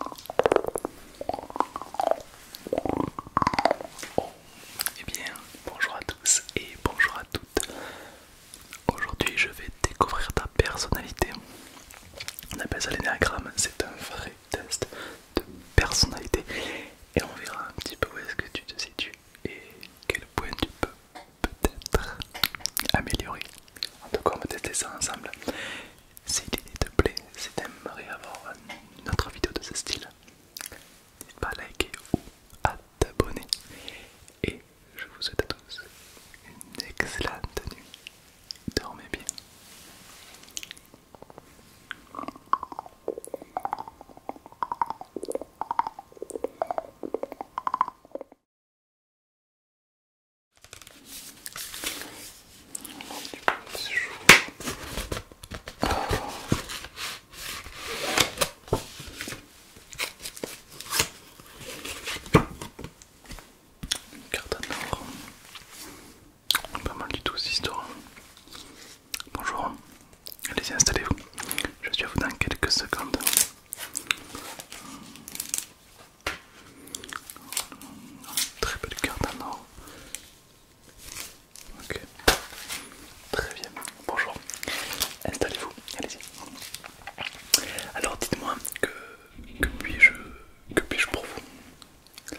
Eh bien, bonjour à tous et bonjour à toutes. Aujourd'hui, je vais découvrir ta personnalité. On appelle ça l'énagramme. c'est un vrai test de personnalité. Et on verra un petit peu où est-ce que tu te situes et quel point tu peux peut-être améliorer. En tout cas, on va tester ça ensemble. Si l'idée te plaît, si avoir une autre vidéo de ce style, n'hésite pas à liker ou à t'abonner. Et je vous souhaite à tous une excellente nuit. Dormez bien. Une carte Pas mal du tout cette histoire. Bonjour, allez-y installez-vous. Je suis à vous dans quelques secondes. Très belle de cartes en or. Ok. Très bien. Bonjour. Installez-vous. Allez-y. Alors dites-moi que, puis-je puis pour vous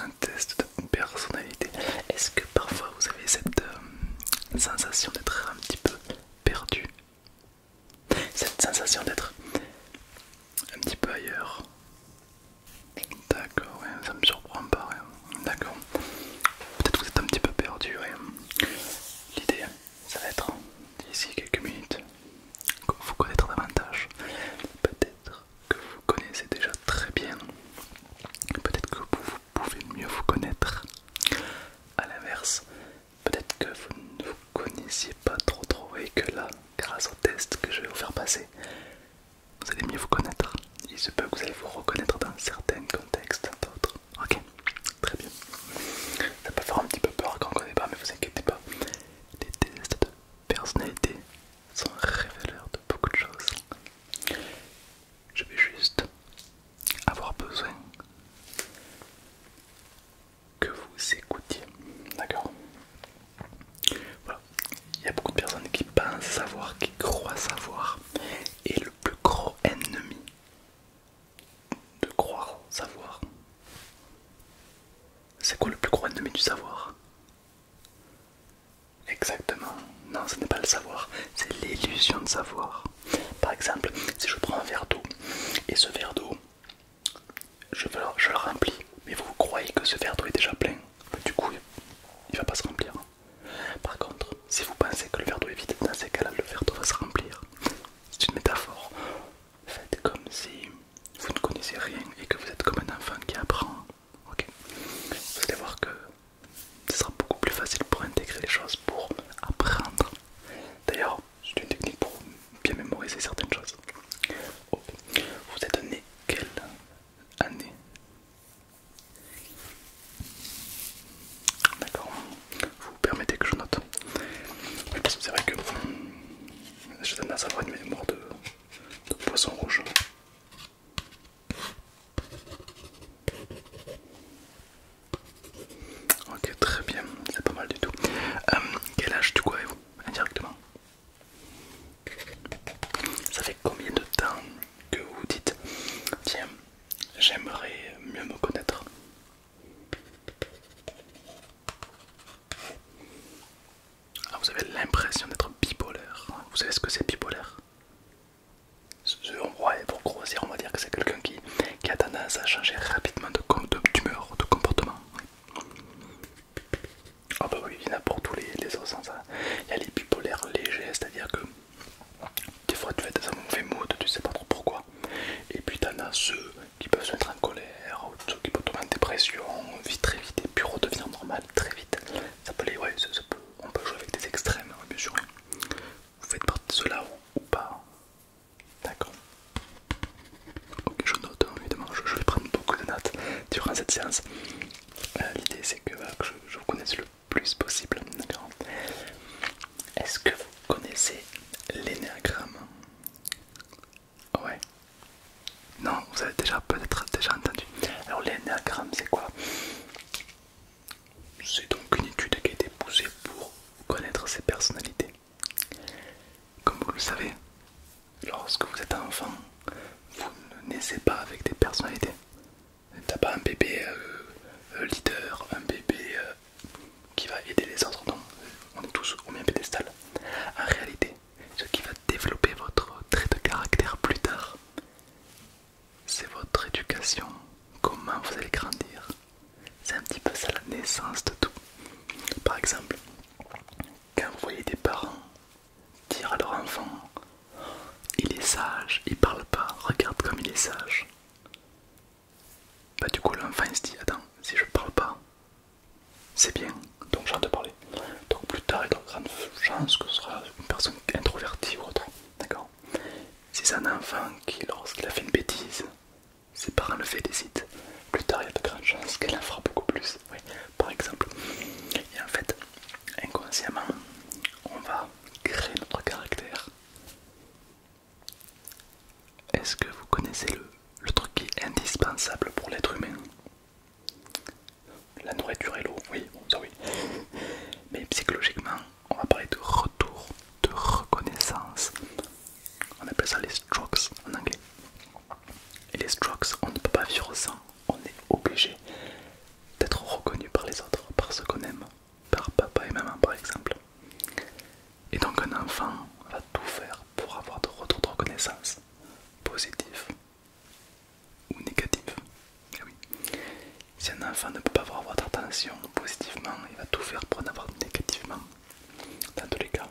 Un test de personnalité. Est-ce que parfois vous avez cette euh, sensation d'être un petit peu perdu cette sensation d'être un petit peu ailleurs. D'accord, ça me surprend pas. D'accord. Peut-être que vous êtes un petit peu perdu. L'idée, ça va être d'ici quelques minutes vous connaître davantage. Peut-être que vous connaissez déjà très bien. Peut-être que vous pouvez mieux vous connaître. à l'inverse, peut-être que vous ne vous connaissiez pas trop trop et que là, grâce au test que je vais vous faire passer, vous allez mieux vous connaître. Il se peut que vous allez vous reconnaître dans certains contextes, d'autres. Ok, très bien. Ça peut faire un petit peu peur quand on ne connaît pas, mais vous inquiétez pas. Les tests de personnalité sont révélateurs de beaucoup de choses. Je vais juste avoir besoin que vous écoutiez. D'accord Voilà. Il y a beaucoup de personnes qui pensent savoir, qui croient savoir. Et le plus gros ennemi de croire savoir, c'est quoi le plus gros ennemi du savoir Exactement. Non, ce n'est pas le savoir, c'est l'illusion de savoir. Par exemple, si je prends un verre d'eau et ce verre d'eau, je, le remplis, mais vous croyez que ce verre d'eau est déjà plein, ben, du coup il va pas se remplir. Hein. Par contre, si vous pensez que le verre d'eau est vide, dans ces cas-là le verre d'eau va se remplir. C'est une métaphore. Faites comme si vous ne connaissez rien et que vous êtes comme un enfant qui apprend. Vous allez voir que ce sera beaucoup plus facile pour intégrer les choses, pour apprendre. D'ailleurs, c'est une technique pour bien mémoriser certaines choses. Oh. Vous êtes donné quelle année D'accord, vous permettez que je note. Oui, parce que c'est vrai que je donne à savoir une mémoire de, poisson rouge. Ok, très bien, c'est pas mal du tout. Euh, quel âge du coup avez-vous indirectement. Ça fait combien de temps que vous dites Tiens, j'aimerais mieux me connaître vous avez l'impression d'être bipolaire. Vous savez ce que c'est bipolaire on pour grossir, on va dire que c'est quelqu'un qui, a tendance à changer rapidement d'humeur, de, de comportement. Ah bah oui, il y en a pour tous les, les sens. Hein, il y a les bipolaires légers, c'est-à-dire que des fois tu fais des un mauvais tu sais pas trop pourquoi. Et puis t'en as ceux qui peuvent se mettre en colère, ceux qui peuvent tomber en dépression, vite très vite, et puis redevenir normal très vite. peut on peut jouer avec des extrêmes, hein, bien sûr. Vous faites partie de cela ou pas D'accord. Ok, je note, hein, évidemment, je vais prendre beaucoup de notes durant cette séance. Euh, l'idée c'est que, je, je vous connaisse le plus possible, d'accord Est-ce que vous connaissez l'énéagramme Ouais. Non, vous avez déjà peut-être déjà entendu. Alors l'énéagramme c'est quoi C'est donc une étude qui a été poussée pour connaître ses personnalités. Comme vous le savez, lorsque vous êtes enfant, vous ne naissez pas avec des personnalités. T'as pas un bébé euh, euh, leader, un bébé euh, qui va aider les autres, non, on est tous au même pédestal. En réalité, ce qui va développer votre trait de caractère plus tard, c'est votre éducation, comment vous allez grandir. C'est un petit peu ça la naissance de tout. Par exemple, quand vous voyez des parents dire à leur enfant il est sage, il parle pas, regarde comme il est sage. Bah, du coup, l'enfant se dit Attends, si je parle pas, c'est bien, donc j'ai de parler. Donc, plus tard, il y a de grandes que ce sera une personne introvertie ou autre. D'accord Si c'est un enfant qui, lorsqu'il a fait une bêtise, ses parents le félicitent. Plus tard, il y a de grandes chances qu'elle en fera beaucoup plus, oui, par exemple. Et en fait, inconsciemment, on va créer notre caractère. Est-ce que vous connaissez le, truc qui est indispensable pour l'être humain La nourriture et l'eau, oui, oui. Mais psychologiquement, on va parler de retour, de reconnaissance. On appelle ça les strokes en anglais. Et les Strokes, on ne peut pas vivre sans. On est obligé d'être reconnu par les autres, par ce qu'on aime, par papa et maman par exemple. Et donc un enfant va tout faire pour avoir de retour de reconnaissance, positif ou négatif. Eh si un enfant ne peut pas avoir d'attention positivement, il va tout faire pour en avoir négativement. Dans tous les cas,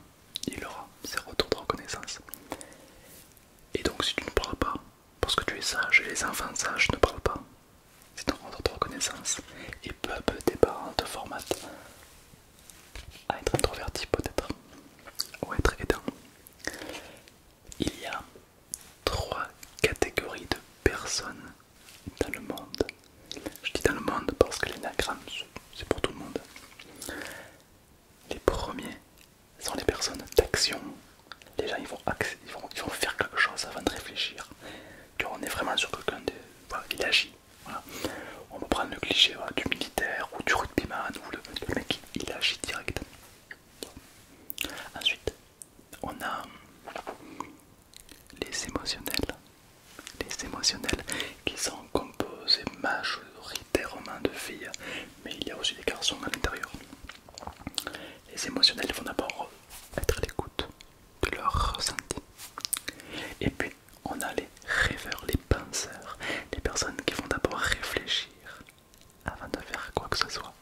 il aura ses retours de reconnaissance. Et donc si tu ne parles pas, parce que tu es sage et les enfants sages ne parlent pas, c'est ton retour de reconnaissance. Et peu à peu tes parents te formatent à être introverti peut-être, ou à être aidant. Il y a trois catégories de personnes dans le monde je dis dans le monde parce que l'énagramme, c'est pour tout le monde. Les premiers sont les personnes d'action. Les gens, ils vont, vont, faire quelque chose avant de réfléchir. on est vraiment sur quelqu'un de... Voilà, il agit. On peut prendre le cliché du militaire ou du rugbyman ou le, le mec, il agit direct. Ensuite, on a les émotionnels. Les émotionnels qui sont composés majoritairement de filles, mais il y a aussi des garçons à l'intérieur. Les émotionnels vont d'abord être à l'écoute de leurs ressentis. Et puis on a les rêveurs, les penseurs, les personnes qui vont d'abord réfléchir avant de faire quoi que ce soit.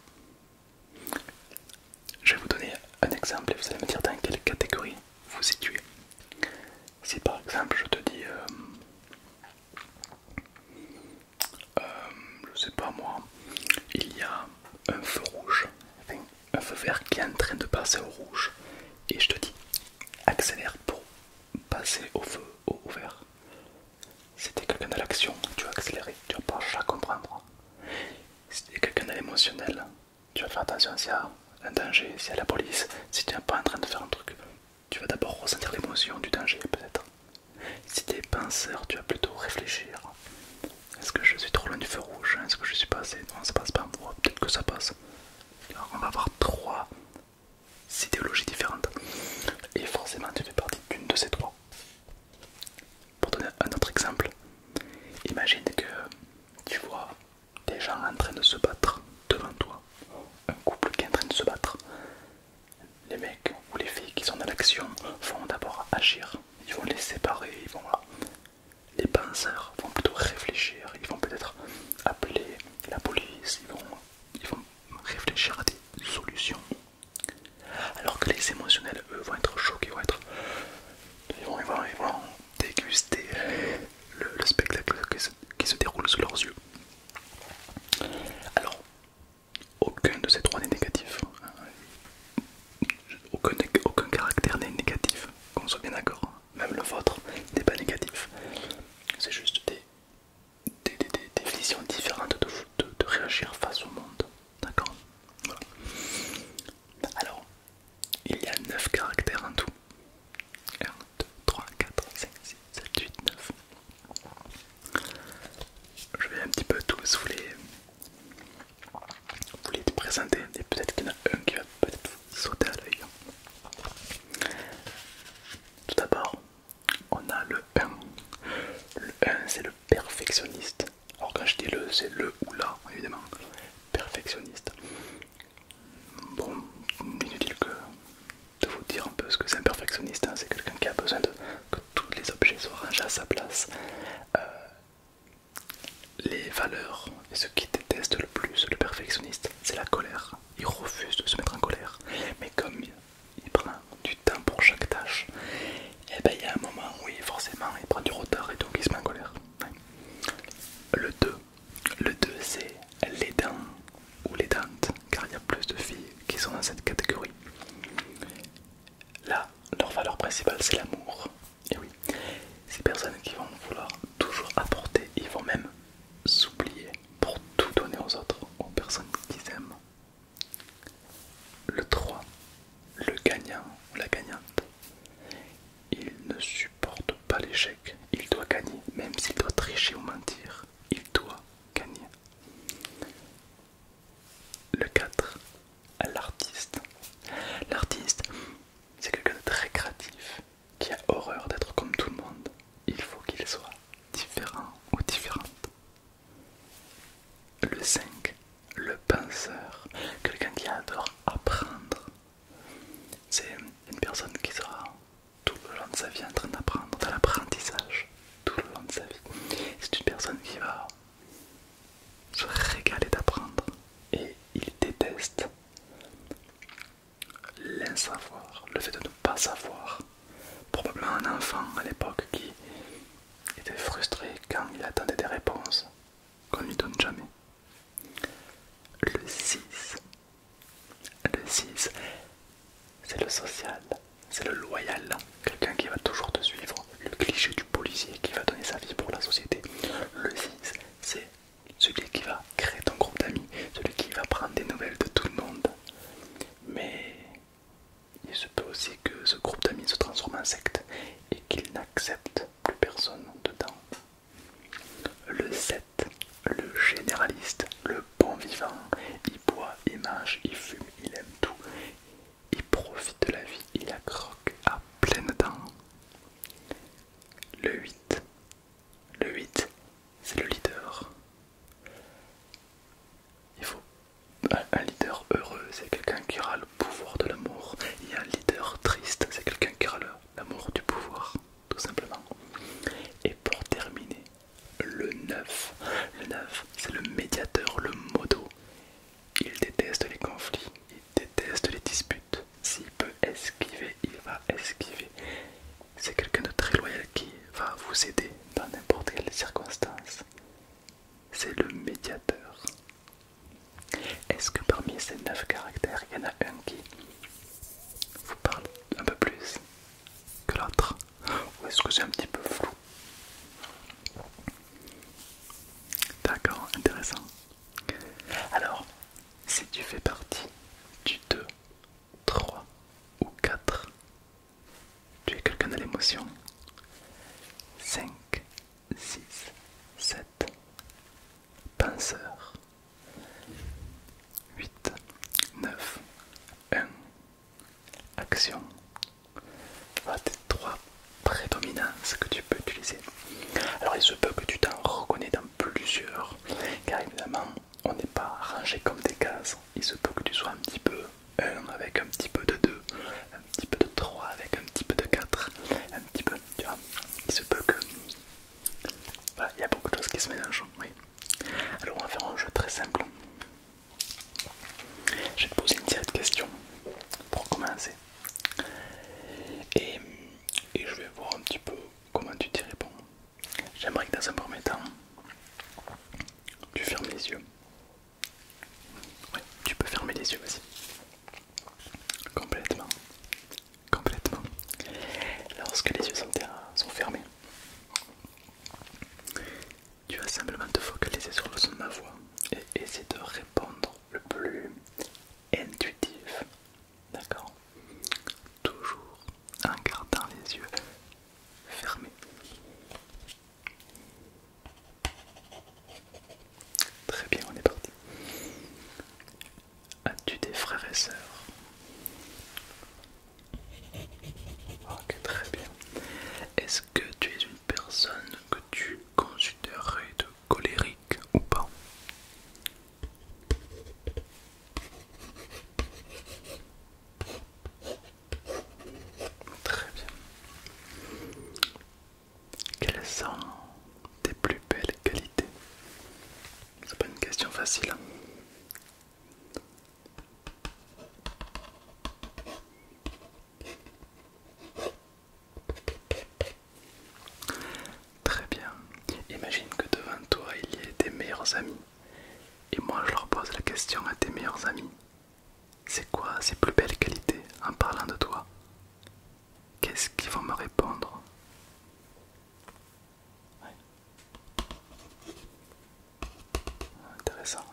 Je vais vous donner un exemple et vous allez me dire dans quelle catégorie vous situez. Si par exemple je te dis, euh, euh, je sais pas moi, il y a un feu rouge, enfin, un feu vert qui est en train de passer au rouge, et je te dis accélère pour passer au feu au vert. C'était quelqu'un de l'action, tu vas accélérer, tu vas pas à comprendre. C'était quelqu'un de l'émotionnel, tu vas faire attention s'il y a un danger, s'il y a la police, si tu n'es pas en train de faire un truc. Tu vas d'abord ressentir l'émotion du danger peut-être. Si tu es penseur, tu vas plutôt réfléchir. Est-ce que je suis trop loin du feu rouge Est-ce que je suis passé Non, ça passe pas. moi. peut-être que ça passe. on va avoir trois idéologies différentes. Et forcément, tu fais partie d'une de ces trois. Pour donner un autre exemple, imagine que tu vois des gens en train de se battre devant toi, un couple qui est en train de se battre. Les mecs ou les filles qui sont dans l'action vont d'abord agir, ils vont les séparer, ils vont Les penseurs vont plutôt réfléchir, ils vont peut-être appeler la police, ils vont, ils vont réfléchir à des solutions. Alors que les émotionnels, eux, vont être choqués, vont être, ils vont, ils déguster le, spectacle que qui se déroulent sous leurs yeux. Alors, aucun de ces trois n'est négatif. Hein. Aucun, caractère n'est négatif, qu'on soit bien d'accord. Hein. Même le vôtre n'est pas négatif. C'est juste des, des, visions différentes de, de réagir face au monde. D'accord voilà. Alors, il y a 9 caractères en tout. 1, 2, 3, 4, 5, 6, 7, 8, 9. Je vais un petit peu tous vous les, vous présenter et peut-être qu'il y en a un qui va peut-être sauter à l'œil. Tout d'abord, on a le 1. Le 1 c'est le perfectionniste. Alors quand je dis le, c'est le ou la évidemment. Perfectionniste. Bon, inutile que de vous dire un peu ce que c'est un perfectionniste, hein. c'est quelqu'un qui a besoin que tous les objets soient rangés à sa place. Euh, les valeurs et ce qu'il déteste le plus le perfectionniste, c'est la colère. Il refuse de se mettre en colère, mais comme il prend du temps pour chaque tâche, et eh ben il y a un moment où forcément il prend du retard et donc il se met en colère. Le 2, le 2 c'est les dents ou les dentes, car il y a plus de filles qui sont dans cette catégorie. Là, leur valeur principale c'est l'amour. Et oui, ces personnes qui vont vouloir toujours apporter, ils vont même s'oublier pour tout donner aux autres, aux personnes qu'ils aiment. Le 3, le gagnant ou la gagnante. Il ne supporte pas l'échec. Il doit gagner, même s'il doit tricher ou mentir. Il doit gagner. Le 4. L'artiste. L'artiste, c'est quelqu'un de très créatif, qui a horreur d'être comme tout le monde. Il faut qu'il soit différent ou différente. Le 5. Le penseur. Quelqu'un qui adore apprendre, c'est une personne qui sera tout le long de sa vie en train d'apprendre, dans l'apprentissage, tout le long de sa vie. C'est une personne qui va se régaler d'apprendre et il déteste l'insavoir, le fait de ne pas savoir. Probablement un enfant à l'époque qui était frustré quand il attendait des réponses qu'on ne lui donne jamais. Le 6. Le 6, c'est le social, c'est le loyal, quelqu'un qui va toujours te suivre, le cliché du policier qui va donner sa vie pour la société. Le 6, c'est celui qui va créer ton groupe d'amis, celui qui va prendre des nouvelles de tout le monde. Mais il se peut aussi que ce groupe d'amis se transforme en secte et qu'il n'accepte plus personne dedans. Le 7, le généraliste, le bon vivant, il boit, il mange, il fume, il aime tout, il profite de la vie, il accroque croque à pleines dents. Le 8, le 8, c'est le leader. Il faut un leader heureux, c'est quelqu'un qui aura le pouvoir de l'amour. Et un leader triste, c'est quelqu'un qui aura le l'amour du pouvoir, tout simplement. Et pour terminer, le 9. Le 9, c'est le médiateur, le modo. Il déteste les conflits, il déteste les disputes. S'il peut esquiver, il va esquiver. C'est quelqu'un de très loyal qui va vous aider dans n'importe quelle circonstance. C'est le médiateur. Est-ce que parmi ces 9 caractères, il y en a un qui vous parlez un peu plus que l'autre Ou est-ce que c'est un petit peu flou D'accord, intéressant. Alors, si tu fais partie du 2, 3 ou 4, tu es quelqu'un de l'émotion. 5, 6, 7, penseur. 8, 9, 1, action. Voilà tes trois prédominances que tu peux utiliser. Alors il se peut que tu t'en reconnais dans plusieurs, car évidemment on n'est pas rangé comme des cases. Il se peut que tu sois un petit peu 1 avec un petit peu de 2, un petit peu de 3 avec un petit peu de 4, un petit peu, tu vois. Il se peut que bah, il y a beaucoup de choses qui se mélangent. Oui. Alors on va faire un jeu très simple. Je vais te poser une série de questions pour commencer. Et, je vais voir un petit peu comment tu t'y réponds. J'aimerais que dans un premier temps, tu fermes les yeux. Oui, tu peux fermer les yeux, aussi. Complètement. Complètement. Lorsque les yeux sont, fermés, tu vas simplement te focaliser sur le son de ma voix et essayer de répondre le plus intuitif. D'accord Toujours en gardant les yeux fermés. Très bien, on est parti. As-tu des frères et sœurs ah, Ok, très bien. Est-ce que tu es une personne que tu considérerais de colérique ou pas Très bien. Quelles sont tes plus belles qualités c'est pas une question facile. Hein. Très bien. Imagine que devant toi il y ait tes meilleurs amis. Et moi je leur pose la question à tes meilleurs amis. C'est quoi ces plus belles qualités en parlant de toi Qu'est-ce qu'ils vont me répondre Ouais. Intéressant.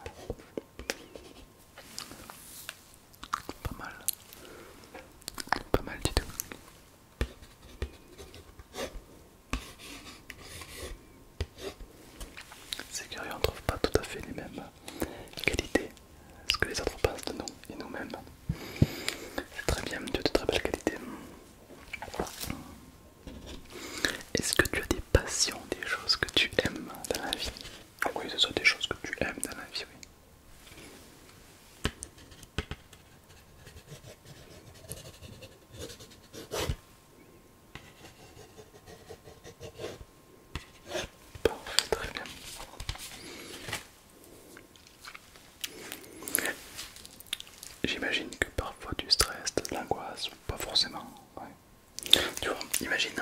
Pas mal. Pas mal du tout. C'est curieux, on ne trouve pas tout à fait les mêmes qualités, ce que les autres pensent de nous et nous-mêmes. très bien, Dieu de très belle qualité. Est-ce que tu as des passions, des choses que tu aimes dans la vie Oui, ce sont des choses que tu aimes dans la vie, oui. Parfait, très bien. J'imagine que parfois du stress, de l'angoisse, pas forcément. Tu vois, imagine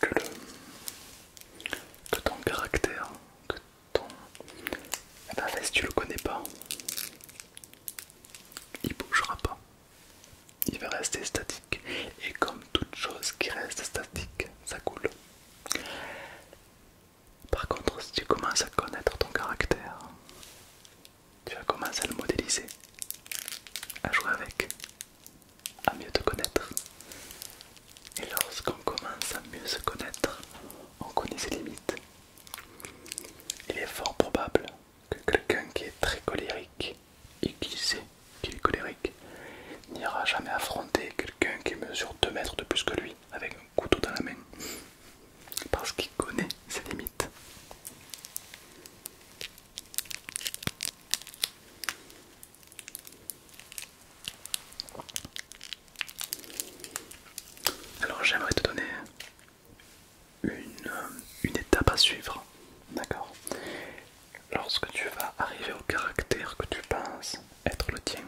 que, le, ton caractère, que ton. Ah eh ben, si tu le connais pas, il bougera pas. Il va rester statique. Et comme toute chose qui reste statique, ça coule. Par contre, si tu commences à connaître ton caractère, tu vas commencer à le modéliser, à jouer avec, à mieux te connaître. Et lorsqu'on commence à mieux se connaître, on connaît ses limites. Il est fort probable que quelqu'un qui est très colérique et qui sait qu'il est colérique n'ira jamais affronter quelqu'un qui mesure 2 mètres de plus que lui avec un couteau dans la main parce qu'il connaît ses limites. Alors j'aimerais te donner une, une étape à suivre, d'accord Lorsque tu vas arriver au caractère que tu penses être le tien,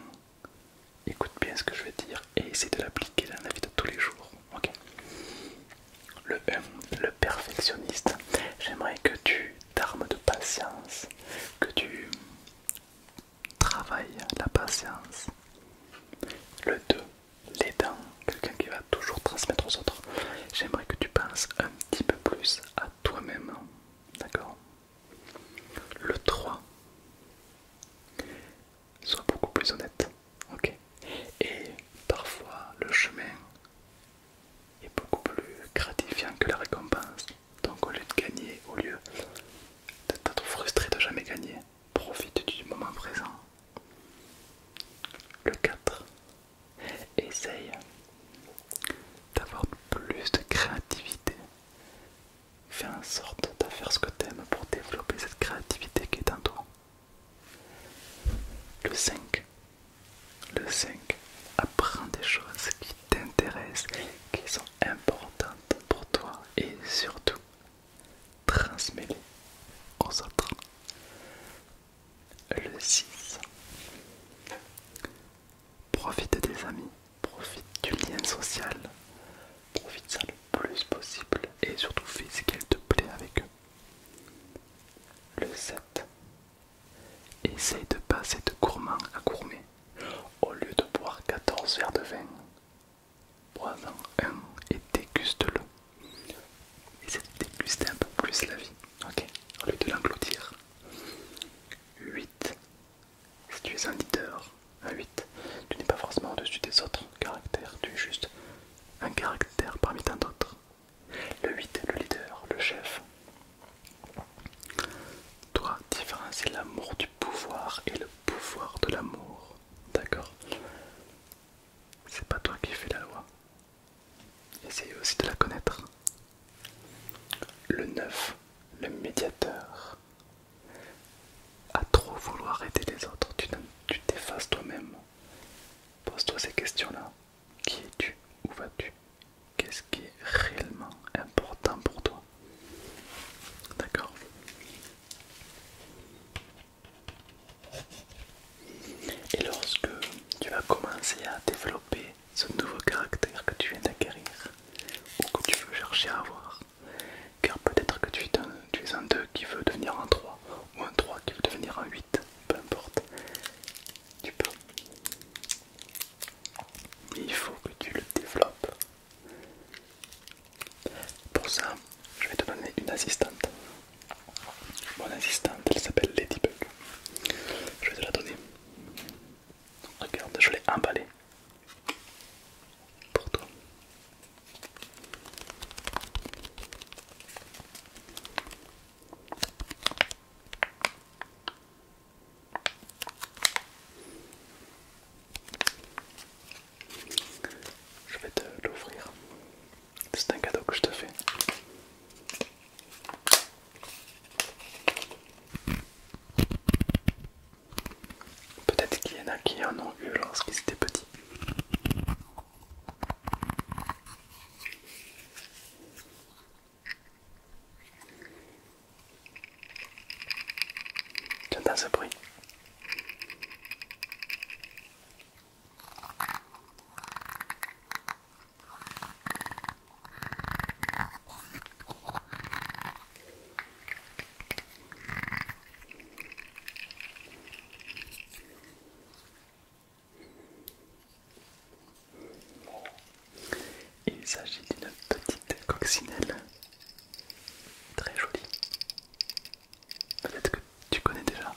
Écoute bien ce que je vais dire et essaie de l'appliquer dans la vie de tous les jours. ok le 1, euh, le perfectionniste. J'aimerais que tu t'armes de patience, que tu travailles la patience. Le 2, l'aidant, quelqu'un qui va toujours transmettre aux autres. J'aimerais que tu penses un petit peu plus à toi-même. D'accord le 3. Sois beaucoup plus honnête. Ok. Et parfois le chemin est beaucoup plus gratifiant que la récompense. Donc au lieu de gagner, au lieu d'être frustré de jamais gagner, profite du moment présent. Le 4. Essaye d'avoir plus de créativité Fais en sorte de faire ce que tu aimes pour développer cette créativité qui est en toi. Le 5. Le 5. Apprends des choses qui t'intéressent, qui sont importantes pour toi et surtout, transmets-les aux autres. Le 6. Profite des amis, profite du lien social, profite ça le plus possible et surtout fais ce qu'elle te plaît avec eux. Le 7. Essaye de passer de gourmand à gourmet. Au lieu de boire 14 verres de vin, bois-en un et déguste-le. Essaye de déguster un peu plus la vie, ok Au lieu de l'engloutir. 8. Si tu es un leader, un 8, tu n'es pas forcément au-dessus des autres caractères, tu es juste un caractère parmi tant d'autres. Le 8 est le leader, le chef. Toi, différencie l'amour du pouvoir et le pouvoir de l'amour. D'accord C'est pas toi qui fais la loi. Essaye aussi de la connaître. Le 9, le médiateur à trop vouloir aider les autres, tu t'effaces toi-même. Pose-toi ces questions-là. Qui es-tu Où vas-tu Qu'est-ce qui est réellement important pour toi D'accord Et lorsque tu vas commencer à développer ce nouveau caractère que tu viens d'acquérir, ou que tu veux chercher à avoir. Car peut-être que tu es, un, 2 qui veut devenir un 3 ou un 3 qui veut devenir un 8, peu importe. Tu peux. Mais il faut que tu le développes. Pour ça, je vais te donner une assistante. Mon assistante, elle s'appelle Ladybug. Je vais te la donner regarde, je l'ai emballé pour toi. Je vais te l'ouvrir. C'est un cadeau que je te fais. Peut-être qu'il y en a qui en ont eu lorsqu'ils étaient petits. Tu entends ce bruit il s'agit d'une petite coccinelle très jolie. Peut-être que tu connais déjà.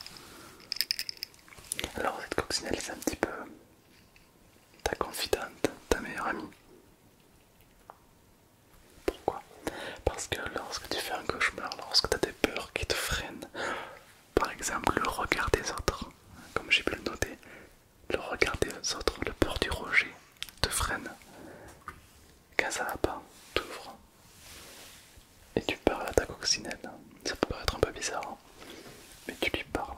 Alors cette coccinelle c'est un petit peu ta confidente, ta meilleure amie. Pourquoi Parce que lorsque tu fais un cauchemar, lorsque tu as des peurs qui te freinent, par exemple le regard des autres, comme j'ai pu le noter, le regard des autres, le peur du rejet te freine. Quand ça va pas, t'ouvre et tu parles à ta coccinelle. Ça peut paraître un peu bizarre, hein, mais tu lui parles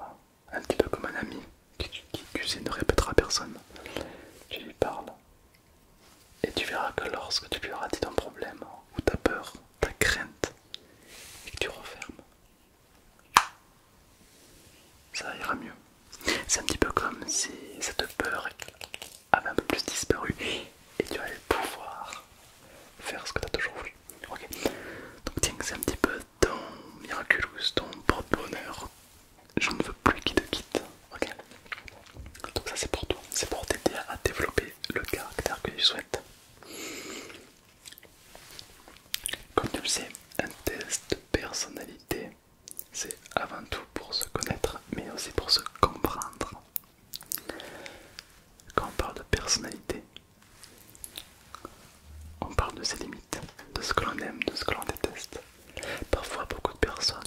un petit peu comme un ami qui, qui ne répétera personne. Tu lui parles et tu verras que lorsque tu lui auras dit ton problème ou ta peur, ta crainte, et que tu refermes, ça ira mieux. C'est un petit peu comme si cette peur avait un peu plus disparu et tu allais pouvoir faire ce que tu as toujours voulu. Ok, donc tiens, c'est un petit peu ton miraculous, ton propre bonheur je ne veux plus qu'il te quitte. ok Donc ça c'est pour toi, c'est pour t'aider à développer le caractère que tu souhaites. Comme tu le sais, un test de personnalité, c'est avant tout pour se connaître, mais aussi pour se comprendre. Quand on parle de personnalité, on parle de ses limites, de ce que l'on aime, de ce que l'on déteste, Parfois, beaucoup de personnes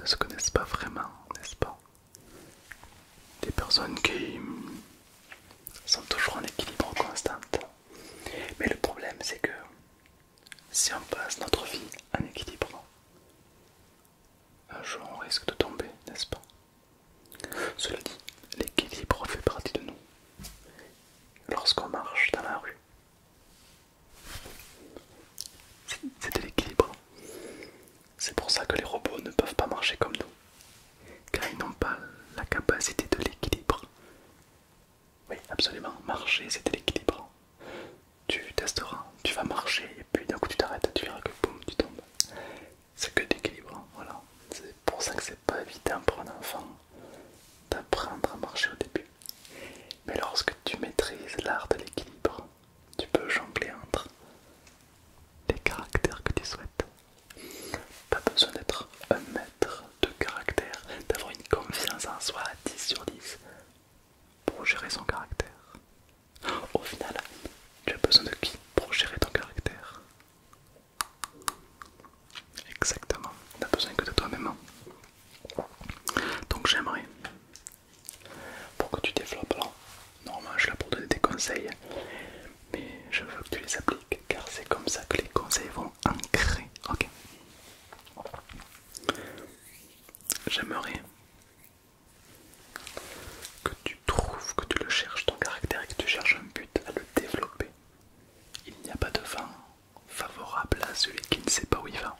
ne se connaissent pas vraiment, n'est-ce pas Des personnes qui sont toujours en équilibre constant. Mais le problème, c'est que si on passe notre vie en équilibre, un jour on risque de tomber, n'est-ce pas Cela dit, l'équilibre fait partie de nous. Lorsqu'on marche dans la rue, c'est de l'équilibre. C'est pour ça que les robots ne peuvent pas marcher comme nous, car ils n'ont pas la capacité de l'équilibre. Oui, absolument, marcher c'est de l'équilibre. Tu testeras, tu vas marcher et puis d'un coup tu t'arrêtes, tu verras que boum, tu tombes. C'est que voilà. C'est pour ça que c'est pas évident pour un enfant d'apprendre à marcher au début. Mais lorsque tu maîtrises l'art de l'équilibre, tu peux jongler entre les caractères que tu souhaites. Pas besoin d'être un maître de caractère, d'avoir une confiance en soi à 10 sur 10 pour gérer son caractère. Au final, tu as besoin de qui pour gérer ton caractère Exactement. T'as besoin que de toi-même. Hein. Donc j'aimerais, pour que tu développes, normalement je suis là pour donner des conseils, mais je veux que tu les appliques car c'est comme ça que les conseils vont ancrer. Ok J'aimerais que tu trouves, que tu le cherches, ton caractère et que tu cherches un but à le développer. Il n'y a pas de fin favorable à celui qui ne sait pas où il va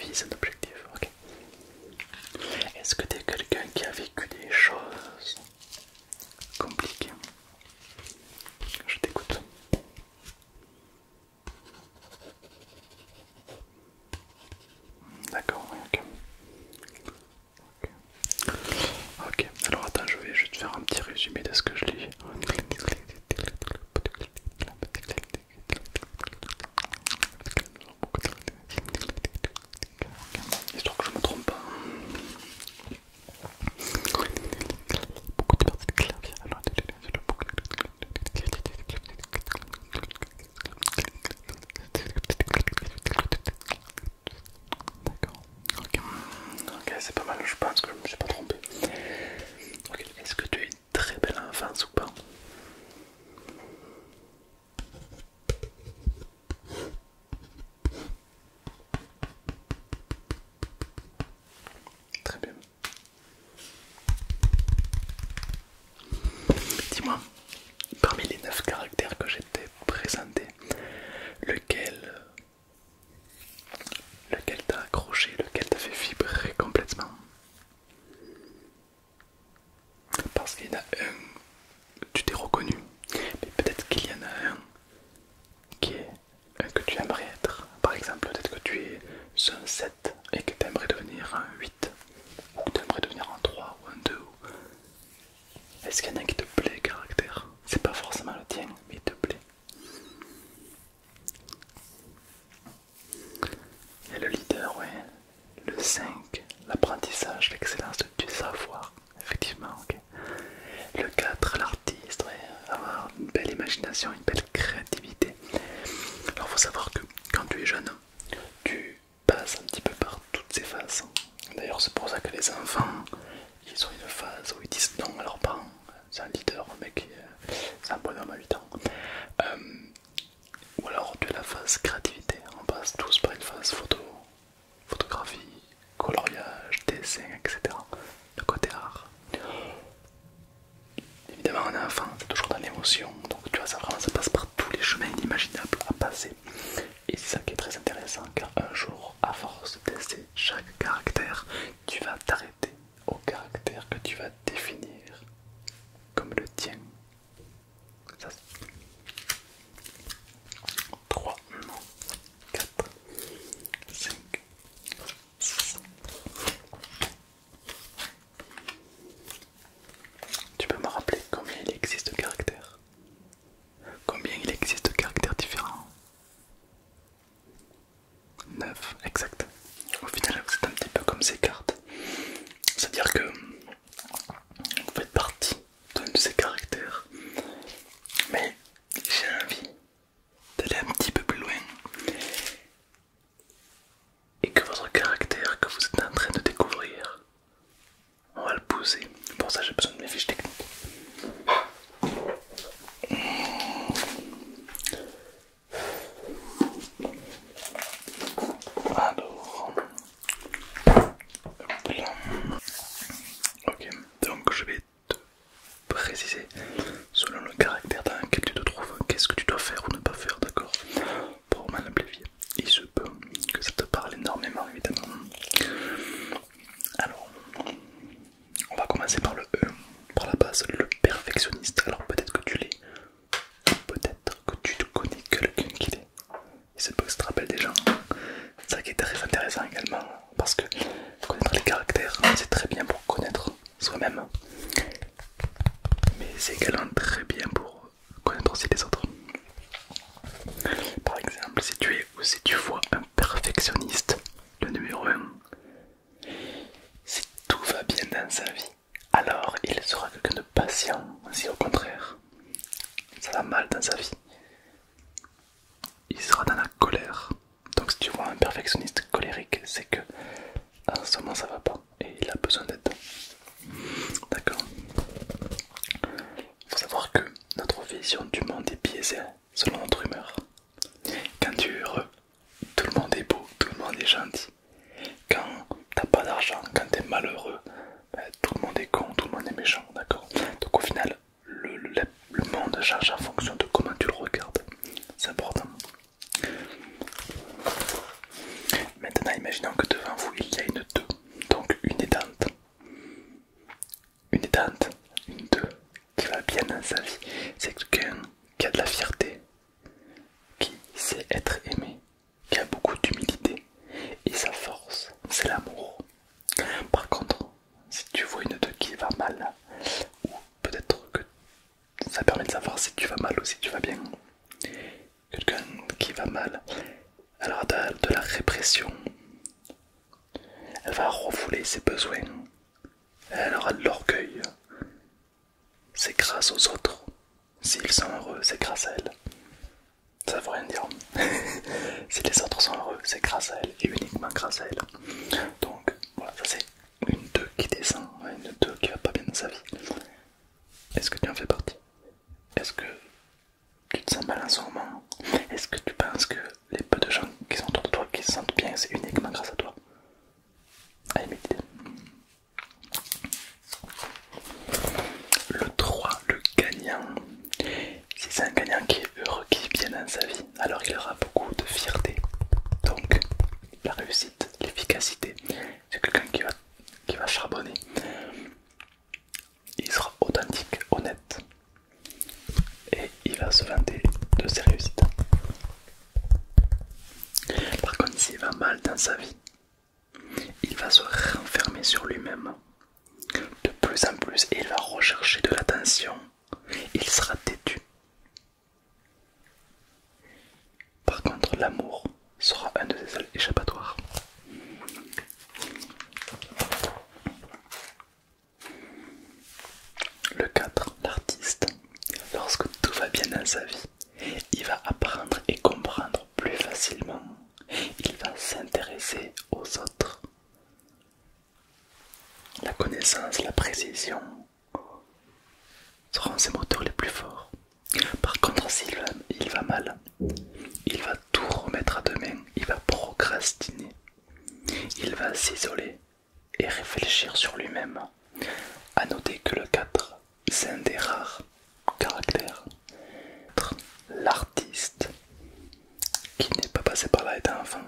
vise un objectif. Ok. Est-ce que tu quelqu'un qui a vécu des choses compliquées Je t'écoute. D'accord, ok. Ok, alors attends, je vais juste faire un petit résumé de ce que je lis. Histoire que je me trompe pas. D'accord. Ok, c'est pas mal, je pense que je me suis pas trompé. Ok, est-ce que tu as une très belle enfance ou pas Très bien. Dis-moi, parmi les 9 caractères que j'ai présenté, lequel Lequel t'a accroché, lequel t'a fait vibrer complètement Parce qu'il y en a un, tu t'es reconnu, mais peut-être qu'il y en a un qui est un que tu aimerais être. Par exemple, peut-être que tu es un 7 et que tu aimerais devenir un 8, ou que tu aimerais devenir un 3 ou un 2. Est-ce qu'il y en a un qui te plaît, caractère C'est pas forcément le tien, mais il te plaît le leader, Le 5, l'apprentissage, l'excellence du savoir, effectivement, Le 4, l'artiste, avoir une belle imagination, une belle créativité. Alors, faut savoir que quand tu es jeune, tu passes un petit peu par toutes ces phases. D'ailleurs, c'est pour ça que les enfants ils ont une phase où ils disent non à leurs parents. C'est un leader, un mec, c'est un bonhomme à 8 ans. Euh, ou alors tu as la phase créativité. On passe tous par une phase photo, photographie, coloriage, dessin, etc. Le côté art. Évidemment, on enfant, c'est toujours dans l'émotion. Donc tu vois, ça ça passe par tous les chemins imaginables à passer. Et c'est ça qui est très intéressant car un jour, à force de tester chaque caractère, tu vas t'arrêter au caractère que tu vas définir comme le tien. 3, 4, 5, Tu peux me rappeler combien il existe de caractères Combien il existe de caractères différents 9, exact. Au final, êtes un petit peu comme ces cartes. C'est-à-dire que vous faites partie de ces caractères, mais j'ai envie d'aller un petit peu plus loin et que votre caractère que vous êtes en train de découvrir, on va le poser. Pour ça, j'ai besoin de mes fiches techniques. Alors, ok, donc je vais te préciser selon le caractère dans lequel tu te trouves, qu'est-ce que tu dois faire ou ne pas faire, d'accord Pour mal il se peut que ça te parle énormément, évidemment. Alors, on va commencer par le E, par la base, le perfectionniste. Alors peut-être que tu l'es, peut-être que tu connais quelqu'un qui l'est. Il se peut que rappelle des hein. gens. C'est ça qui est très intéressant également, parce que connaître les caractères, c'est très bien pour connaître soi-même, mais c'est également très bien pour connaître aussi les autres. Par exemple, si tu es ou si tu vois un perfectionniste, le numéro 1, si tout va bien dans sa vie, alors il sera quelqu'un de patient. Si au contraire, ça va mal dans sa vie, il sera dans la colère. Donc si tu vois un perfectionniste colérique, c'est que en ce moment ça va pas et il a besoin d'aide. D'accord Il faut savoir que notre vision du monde est biaisée selon notre humeur. Quand tu es tout le monde est beau, tout le monde est gentil. Quand t'as pas d'argent, quand t'es malheureux, ben, tout le monde est con, tout le monde est méchant, d'accord Donc au final, le, monde change en fonction de comment tu le regardes. C'est important. Maintenant, imaginons que devant vous, il y a une 2, donc une étante. Une étante, une 2, qui va bien dans sa vie. C'est quelqu'un qui a de la fierté, qui sait être aimé, qui a beaucoup d'humilité. Et sa force, c'est l'amour. Par contre, si tu vois une de qui va mal, ou peut-être que ça permet de savoir si tu vas mal ou si tu vas bien. Quelqu'un qui va mal, elle aura de la répression. Elle va refouler ses besoins, elle aura de l'orgueil. C'est grâce aux autres. S'ils sont heureux, c'est grâce à elle. Ça veut rien dire. si les autres sont heureux, c'est grâce à elle et uniquement grâce à elle. Donc voilà, ça c'est une deux qui descend, une 2 qui va pas bien dans sa vie. Est-ce que tu en fais partie Est-ce que tu te sens mal en ce moment Est-ce que tu penses que les peu de gens qui sont autour de toi qui se sentent bien, c'est uniquement grâce à toi le 3, le gagnant. Si C'est un gagnant qui est heureux, qui est bien dans sa vie, alors il aura beaucoup de fierté. Donc, la réussite, l'efficacité, c'est quelqu'un qui va, qui va charbonner. Il sera authentique, honnête, et il va se vanter de ses réussites. Par contre, s'il va mal dans sa vie, il va se renfermer sur lui-même de plus en plus et il va rechercher de l'attention. Il sera têtu. Par contre, l'amour sera un de ses seuls échappatoires. Le 4. L'artiste. Lorsque tout va bien dans sa vie, il va apprendre et comprendre plus facilement. Il va s'intéresser aux autres. La connaissance, la précision seront ses moteurs les plus forts. Par contre, s'il va, va mal, il va tout remettre à demain, il va procrastiner, il va s'isoler, et réfléchir sur lui-même. à noter que le 4, c'est un des rares caractères. L'artiste qui n'est pas passé par là étant enfant,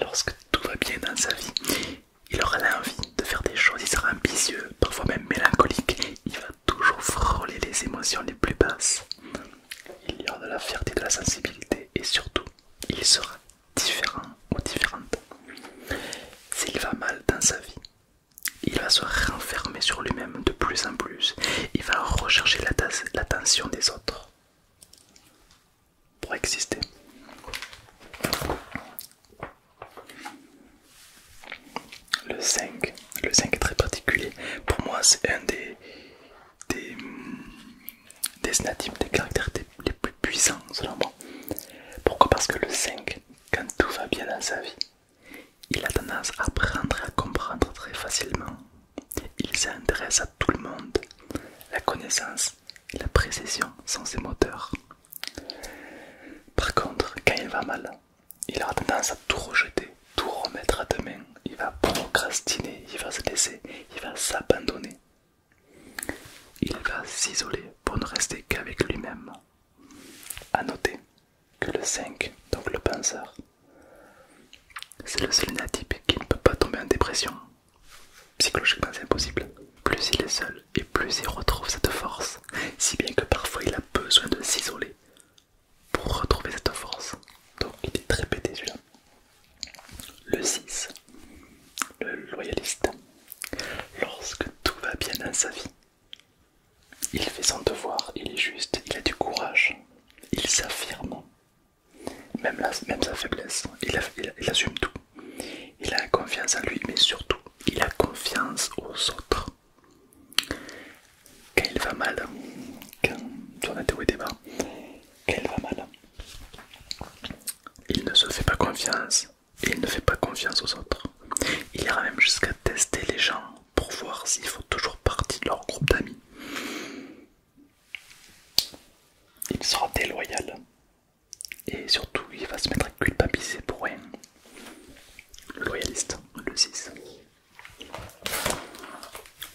lorsque tout va bien dans sa vie, il aura l'envie de faire des choses, il sera ambitieux, parfois même mélancolique, il va toujours frôler les émotions les plus basses. Il y aura de la fierté, de la sensibilité et surtout, il sera différent ou différente. S'il va mal dans sa vie, il va se renfermer sur lui-même de plus en plus. Il va rechercher l'attention des autres pour exister. Le 5, le 5 est très particulier. Pour moi, c'est un des, des, des natifs, des caractères les plus puissants selon moi. Pourquoi Parce que le 5, quand tout va bien dans sa vie, il a tendance à apprendre et à comprendre très facilement. Il s'intéresse à tout le monde. La connaissance et la précision sont ses moteurs. Par contre, quand il va mal, il a tendance à tout rejeter, tout remettre à demain. Il va procrastiner, il va se laisser, il va s'abandonner. Il va s'isoler pour ne rester qu'avec lui-même. à noter que le 5, donc le penseur, c'est le seul natif qui ne peut pas tomber en dépression. Psychologiquement, c'est impossible. Plus il est seul et plus il retrouve cette force, si bien que parfois il a besoin de s'isoler pour retrouver cette force. Donc il est très pété le 6. Le loyaliste. Lorsque tout va bien dans sa vie, il fait son devoir, il est juste, il a du courage, il s'affirme. Même, même sa faiblesse, il, assume tout. Il a confiance en lui, mais surtout, il a confiance aux autres. Quand il va mal, quand on et au débat, quand il va mal, il ne se fait pas confiance et il ne fait pas confiance aux autres. Il ira même jusqu'à tester les gens pour voir s'ils faut toujours partie de leur groupe d'amis. Il sera déloyal et surtout il va se mettre à culpabiliser pour rien. Le loyaliste, le 6.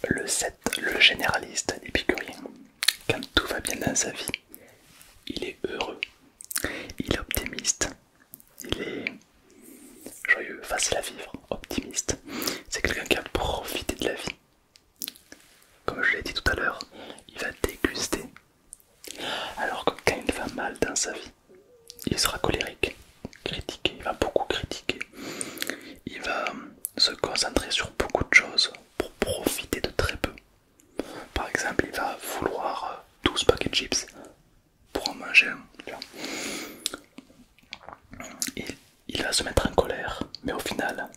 Le 7, le généraliste, rien quand tout va bien dans sa vie, il est heureux, il est optimiste, il est joyeux, facile à vivre, optimiste. C'est quelqu'un qui a profité de la vie. Comme je l'ai dit tout à l'heure, il va déguster. Alors que quand il va mal dans sa vie, il sera colérique, critiqué, il va beaucoup critiquer, il va se concentrer sur beaucoup de choses, pour profiter de très peu. Par exemple, il va vouloir 12 euh, paquets de chips pour en manger un. Il, va se mettre en colère, mais au final,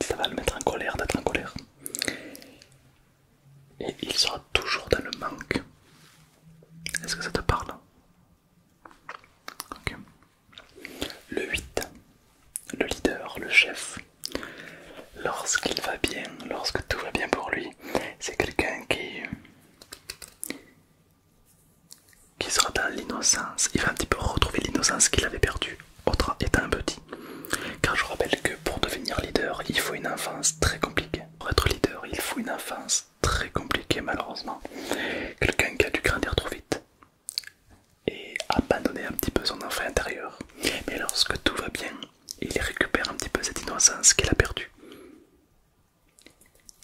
ça va le mettre en colère d'être en colère. Et il sera toujours dans le manque. Est-ce que ça te parle Ok. Le 8, le leader, le chef. Lorsqu'il va bien, lorsque tout va bien pour lui, c'est quelqu'un qui, sera dans l'innocence. Il va un petit peu retrouver l'innocence qu'il avait perdue autre un petit. Car je rappelle que pour devenir leader, il faut une enfance très compliquée. Pour être leader, il faut une enfance très compliquée malheureusement. Quelqu'un qui a dû grandir trop vite, et abandonner un petit peu son enfant intérieur. Mais lorsque tout va bien, il récupère un petit peu cette innocence qu'il a perdue.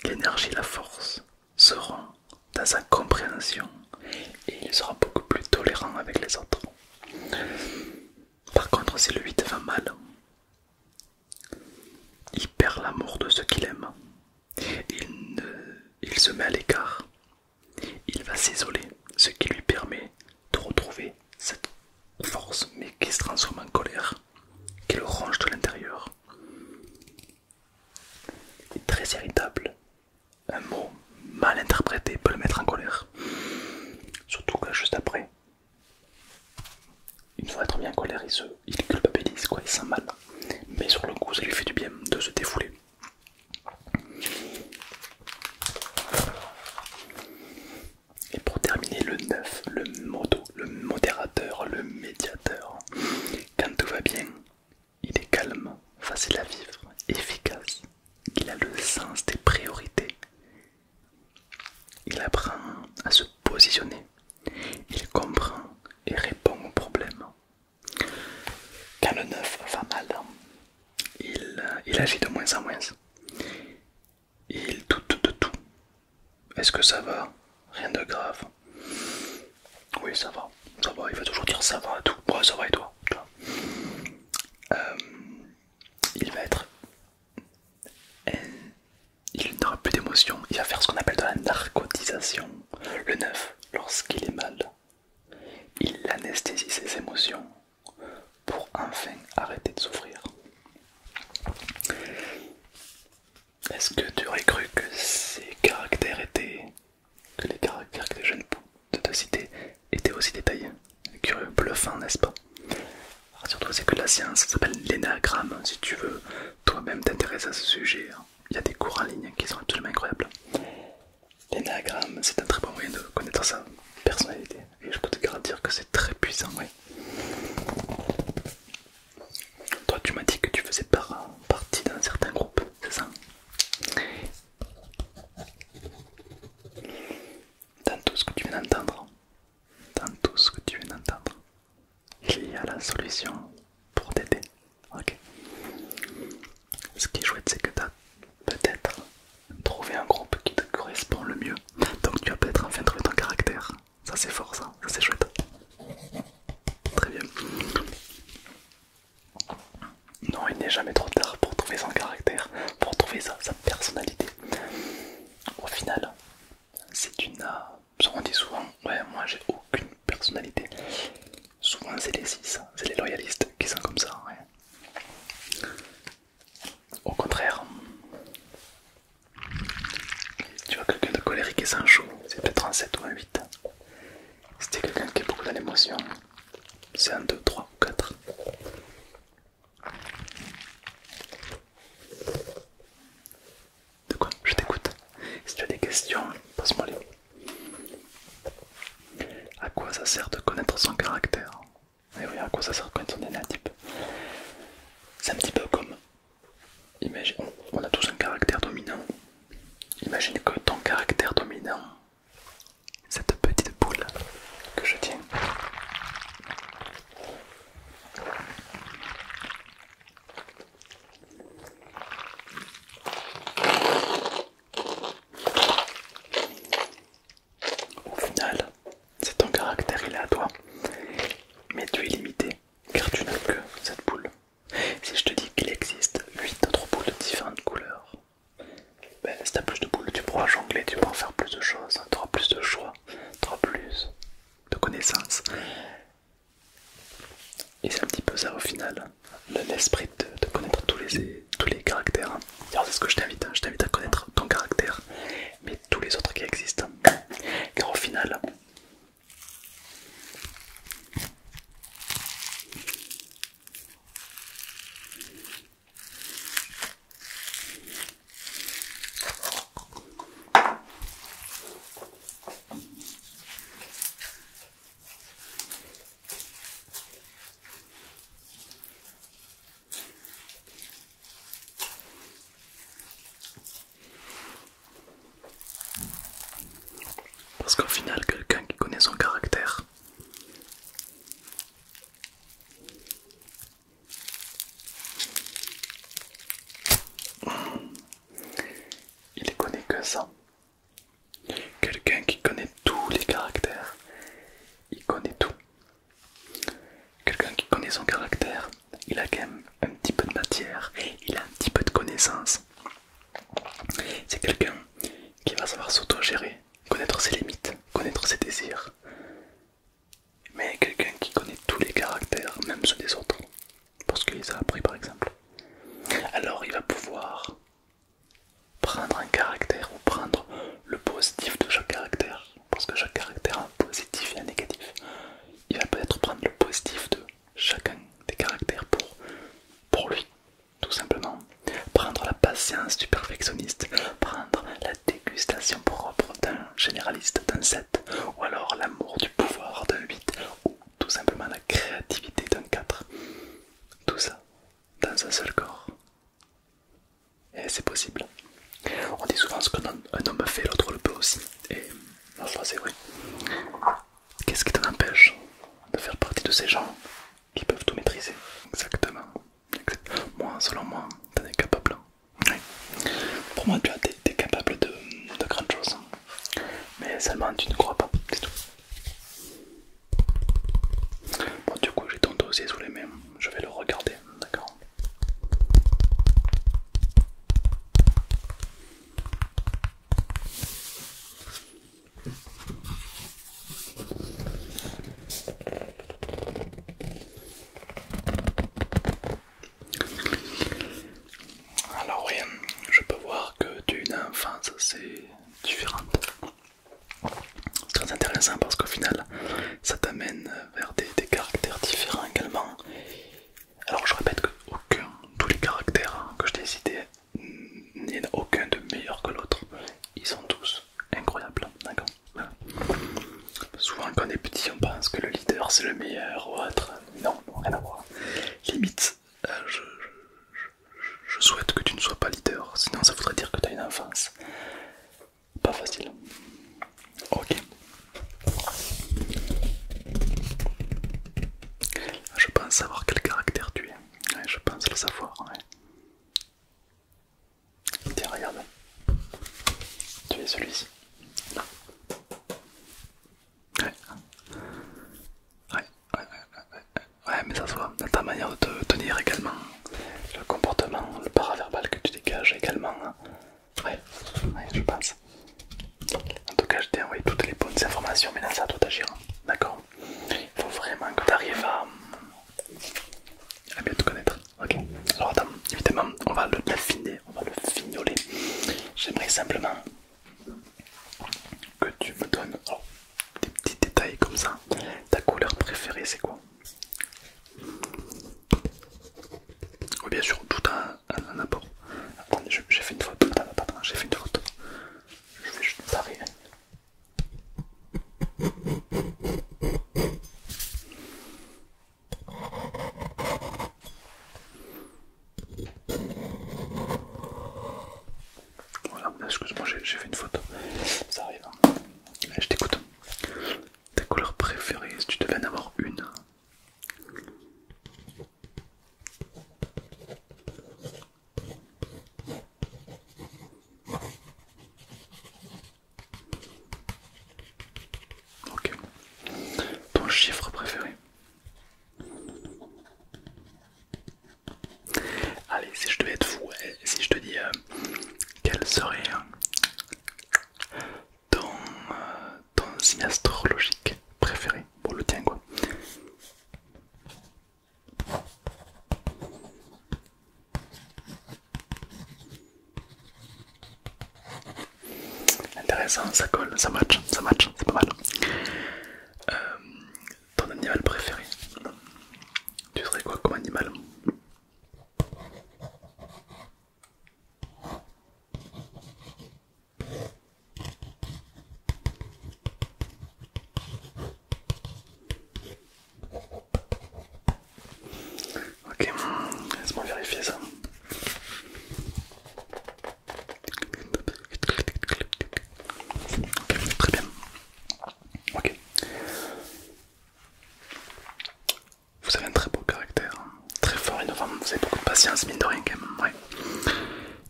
L'énergie et la force seront dans sa compréhension et il sera beaucoup plus tolérant avec les autres. Par contre, si le 8 va mal, il perd l'amour de ce qu'il aime. il se met à l'écart il va s'isoler, ce qui lui permet de retrouver cette force, mais qui se transforme en colère, qui le ronge de l'intérieur. est Très irritable. Un mot mal interprété peut le mettre en colère. Surtout que juste après, une fois être bien en colère, il, se, il culpabilise, quoi, il sent mal. Mais sur le coup, ça lui fait du bien de se défouler. Et pour terminer, le 9, le modo, le modérateur, le médiateur. Quand tout va bien, il est calme, facile à vivre, efficace. Qu'il a le sens des priorités. Il apprend à se positionner. Il comprend et répond aux problèmes. Quand le neuf va mal, il, agit de moins en moins. Il doute de tout. Est-ce que ça va Rien de grave. Oui, ça va. Ça va. Il va toujours dire ça va à tout. Ouais, ça va et toi euh, Il va être. Il n'aura plus d'émotion. Il va faire ce qu'on appelle de la narcotisation. Le neuf, lorsqu'il est mal, il anesthésie ses émotions pour enfin arrêter de souffrir. Est-ce que tu aurais cru que ces caractères étaient. que les caractères que les jeunes de te étaient aussi détaillés Curieux, bluffant, n'est-ce pas Alors toi c'est que la science s'appelle l'énagramme. Si tu veux toi-même t'intéresser à ce sujet, hein. il y a des cours en ligne qui sont absolument incroyables. L'énagramme, c'est un très bon moyen de connaître sa personnalité. Et je peux te garantir que c'est très puissant, oui. Toi, tu m'as dit que tu faisais partie d'un certain groupe, c'est ça Dans tout ce que tu viens d'entendre, dans tout ce que tu viens d'entendre, il y a la solution pour t'aider. Ok. Ce qui est chouette, c'est que tu as peut-être trouvé un groupe qui te correspond le mieux. Donc tu vas peut-être enfin trouver ton caractère. Ça c'est fort, ça, ça c'est chouette. Très bien. Non, il n'est jamais trop tard pour trouver son caractère, pour trouver sa, personnalité. Au final, c'est une... n'as. Euh, qu'on dit souvent, ouais, moi j'ai aucune personnalité. Souvent c'est les 6, hein. c'est les loyalistes qui sont comme ça. Au contraire, si tu vois quelqu'un de colérique et sans chaud, c'est peut-être un 7 ou un 8. Si t'es quelqu'un qui est beaucoup dans l'émotion, c'est un 2, 3 ou 4. De quoi Je t'écoute. Si tu as des questions, pose moi les. À quoi ça sert de connaître son caractère Eh oui, à quoi ça sert de connaître son énatype C'est un petit peu comme. Imagine, on a tous un caractère dominant. Imagine que ton caractère dominant, cette petite boule que je tiens, au final, c'est ton caractère, il est à toi. Mais tu es limité, car tu n'as que cette boule. Si je te dis qu'il existe 8 autres boules de différentes couleurs, ben, si tu as plus de boules, tu pourras jongler, tu pourras faire plus de choses, hein. tu auras plus de choix, tu plus de connaissances. Et c'est un petit peu ça au final l'esprit de, de connaître tous les, tous les caractères. C'est ce que je t'invite, hein. je t'invite à connaître ton caractère, mais tous les autres qui existent. Hein. Car au final, parce qu'au final, quelqu'un qui connaît son caractère il connaît que ça Quelqu'un qui connaît tous les caractères, il connaît tout. Quelqu'un qui connaît son caractère, il a quand même un petit peu de matière, il a un petit peu de connaissances. C'est quelqu'un qui va savoir s'autogérer, connaître ses limites, connaître ses désirs. Mais quelqu'un qui connaît tous les caractères, même ceux des autres, ce qu'il les a appris par exemple. Alors il va pouvoir prendre un caractère ou prendre le positif de chaque caractère, parce que chaque caractère a un positif et un négatif. Il va peut-être prendre le positif de chacun des caractères pour, pour lui, tout simplement. Prendre la patience du perfectionniste, prendre la dégustation propre d'un généraliste, d'un 7, ou alors l'amour du pouvoir d'un 8, ou tout simplement la créativité d'un 4. Tout ça, dans un seul corps. Et c'est possible. On dit souvent ce que un homme fait, l'autre le peut aussi. Et non, ça c'est vrai. Qu'est-ce qui t'empêche de faire partie de ces gens qui peuvent tout maîtriser Exactement. Moi, selon moi, t'en es capable. Pour moi, tu es, capable de, de grandes choses. Mais seulement tu ne crois pas, c'est tout. Bon, du coup, j'ai ton dossier sous les mains, je vais le regarder, d'accord alors oui, je peux voir que d'une enfance c'est différent c'est Très intéressant parce qu'au final, ça t'amène vers des, caractères différents également. Alors je répète que aucun, tous les caractères que je t'ai cités, aucun de meilleur que l'autre. Ils sont tous incroyables, d'accord Souvent quand on est petit, on pense que le leader c'est le meilleur ou autre. Non, rien à voir. Limite, euh, je, je souhaite que tu ne sois pas leader, sinon ça voudrait dire que tu as une enfance. Pas facile. Ok. Ah, je pense savoir quel caractère tu es. je pense le savoir. Tiens, regarde. Tu es celui-ci. Ouais. Ouais ouais, mais ça soit dans ta manière de te tenir également, le comportement, le paraverbal que tu dégages également. Hein. Ouais, je pense. En tout cas, je t'ai envoyé toutes les bonnes informations, mais c'est ça doit d'agir, hein. D'accord Il faut vraiment que tu arrives à... mieux te connaître. Ok Alors, attends, évidemment, on va le l'affiner, on va le fignoler. J'aimerais simplement que tu me donnes des petits détails comme ça. Ta couleur préférée, c'est quoi Oui, oh, bien sûr, tout un, apport. Attendez, j'ai fait une faute. j'ai fait une faute. Je vais juste parer. Voilà, excuse-moi, j'ai fait une photo Ça arrive. Hein. Je t'écoute. Ta couleur préférée, si tu devais en avoir une. Ok. Ton chiffre préféré. Allez, si je devais être fou, eh, si je te dis euh, quel serait hein, euh, ton, signe astrologique préféré pour le tien quoi. Intéressant, ça colle, ça match, ça match, c'est pas mal. Euh, ton animal préféré Tu serais quoi comme animal Ok, laisse-moi vérifier ça. très bien. Ok. Vous avez un très beau caractère, hein. très fort, innovant. Vous avez beaucoup de patience, mine de rien,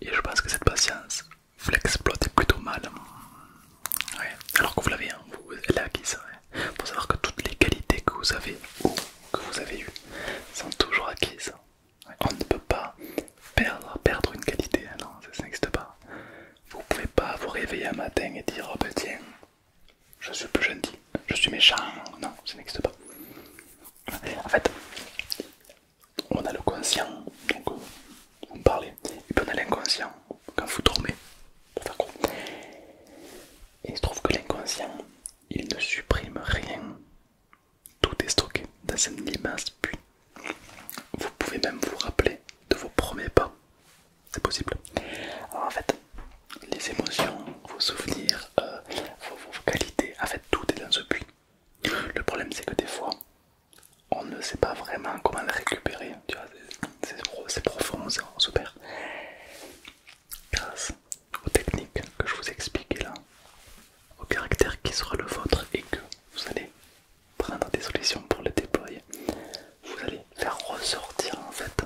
Et je pense que cette patience, vous l'exploitez plutôt mal. Alors que vous l'avez, hein. elle vous acquise savoir que toutes les qualités que vous avez ou que vous avez eues sont toujours acquises. Hein. On ne peut pas perdre, perdre une qualité, hein, non, ça, n'existe pas. Vous pouvez pas vous réveiller un matin et dire oh, ben, tiens, je suis plus gentil, je suis méchant, non, ça n'existe pas. En fait, on a le conscient, donc vous me parlez, et puis on a l'inconscient quand vous dormez, il se trouve que l'inconscient, il ne supprime rien, tout est stocké dans un immense puits vous pouvez même vous rappeler de vos premiers pas. C'est possible. Alors en fait, les émotions, vos souvenirs, euh, vos, qualités, en fait tout est dans ce puits. Le problème c'est que des fois, on ne sait pas vraiment comment le récupérer. tu C'est profond, on se Grâce aux techniques que je vous explique là, au caractère qui sera le vôtre et que vous allez prendre des solutions pour le déployer, vous allez faire ressortir en fait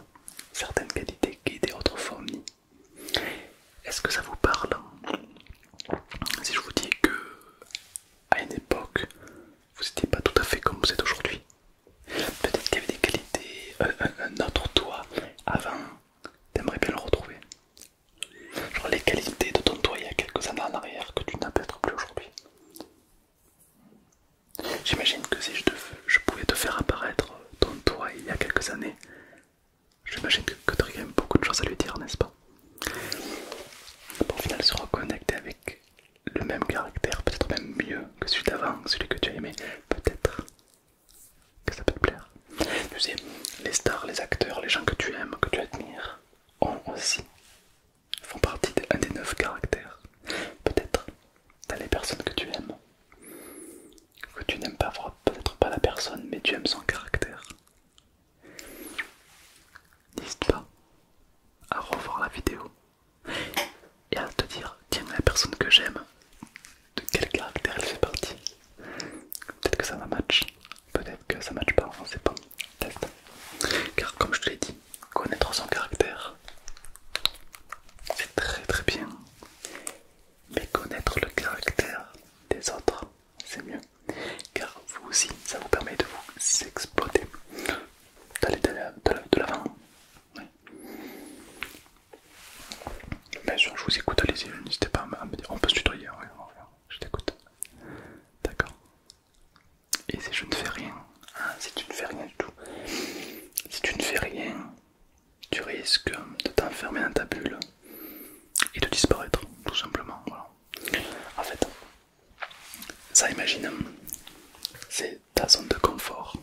certaines qualités qui étaient autrefois fourmis. Est-ce que ça vous parle Si je vous dis que à une époque vous n'étiez pas tout à fait comme vous êtes aujourd'hui, peut-être qu'il y avait des qualités, euh, euh, un, autre toi avant, aimerais bien le retrouver. Genre les qualités de ton toi il y a quelques années en arrière que tu n'as peut-être plus aujourd'hui. J'imagine que si je, pouvais te faire apparaître ton toit il y a quelques années, j'imagine que, tu aurais beaucoup de choses à lui dire, n'est-ce pas Pour au final se reconnecter avec le même caractère, peut-être même mieux que celui d'avant, celui que tu as aimé, peut-être que ça peut te plaire. Tu sais, les stars, les acteurs, les gens que tu aimes, que tu admires, ont aussi font partie d'un des neuf caractères. Peut-être dans les personnes que tu aimes, que tu n'aimes pas, peut-être pas la personne, mais tu aimes son caractère. N'hésite pas à revoir la vidéo et à te dire tiens la personne que j'aime, de quel caractère elle fait partie. Peut-être que ça va match, peut-être que ça match pas, on sait pas. Car comme je te l'ai dit, connaître son caractère, c'est très très bien. Mais connaître le caractère des autres, c'est mieux. Car vous aussi, ça vous permet de vous exploiter, d'aller de l'avant. Bien sûr, je vous écoute, allez-y, n'hésitez pas à me dire. On peut se tutoyer, je t'écoute. D'accord et si je ne fais rien, hein, si tu ne fais rien du tout, si tu ne fais rien, tu risques de t'enfermer dans ta bulle et de disparaître, tout simplement. En fait, ça imagine, c'est ta zone de confort.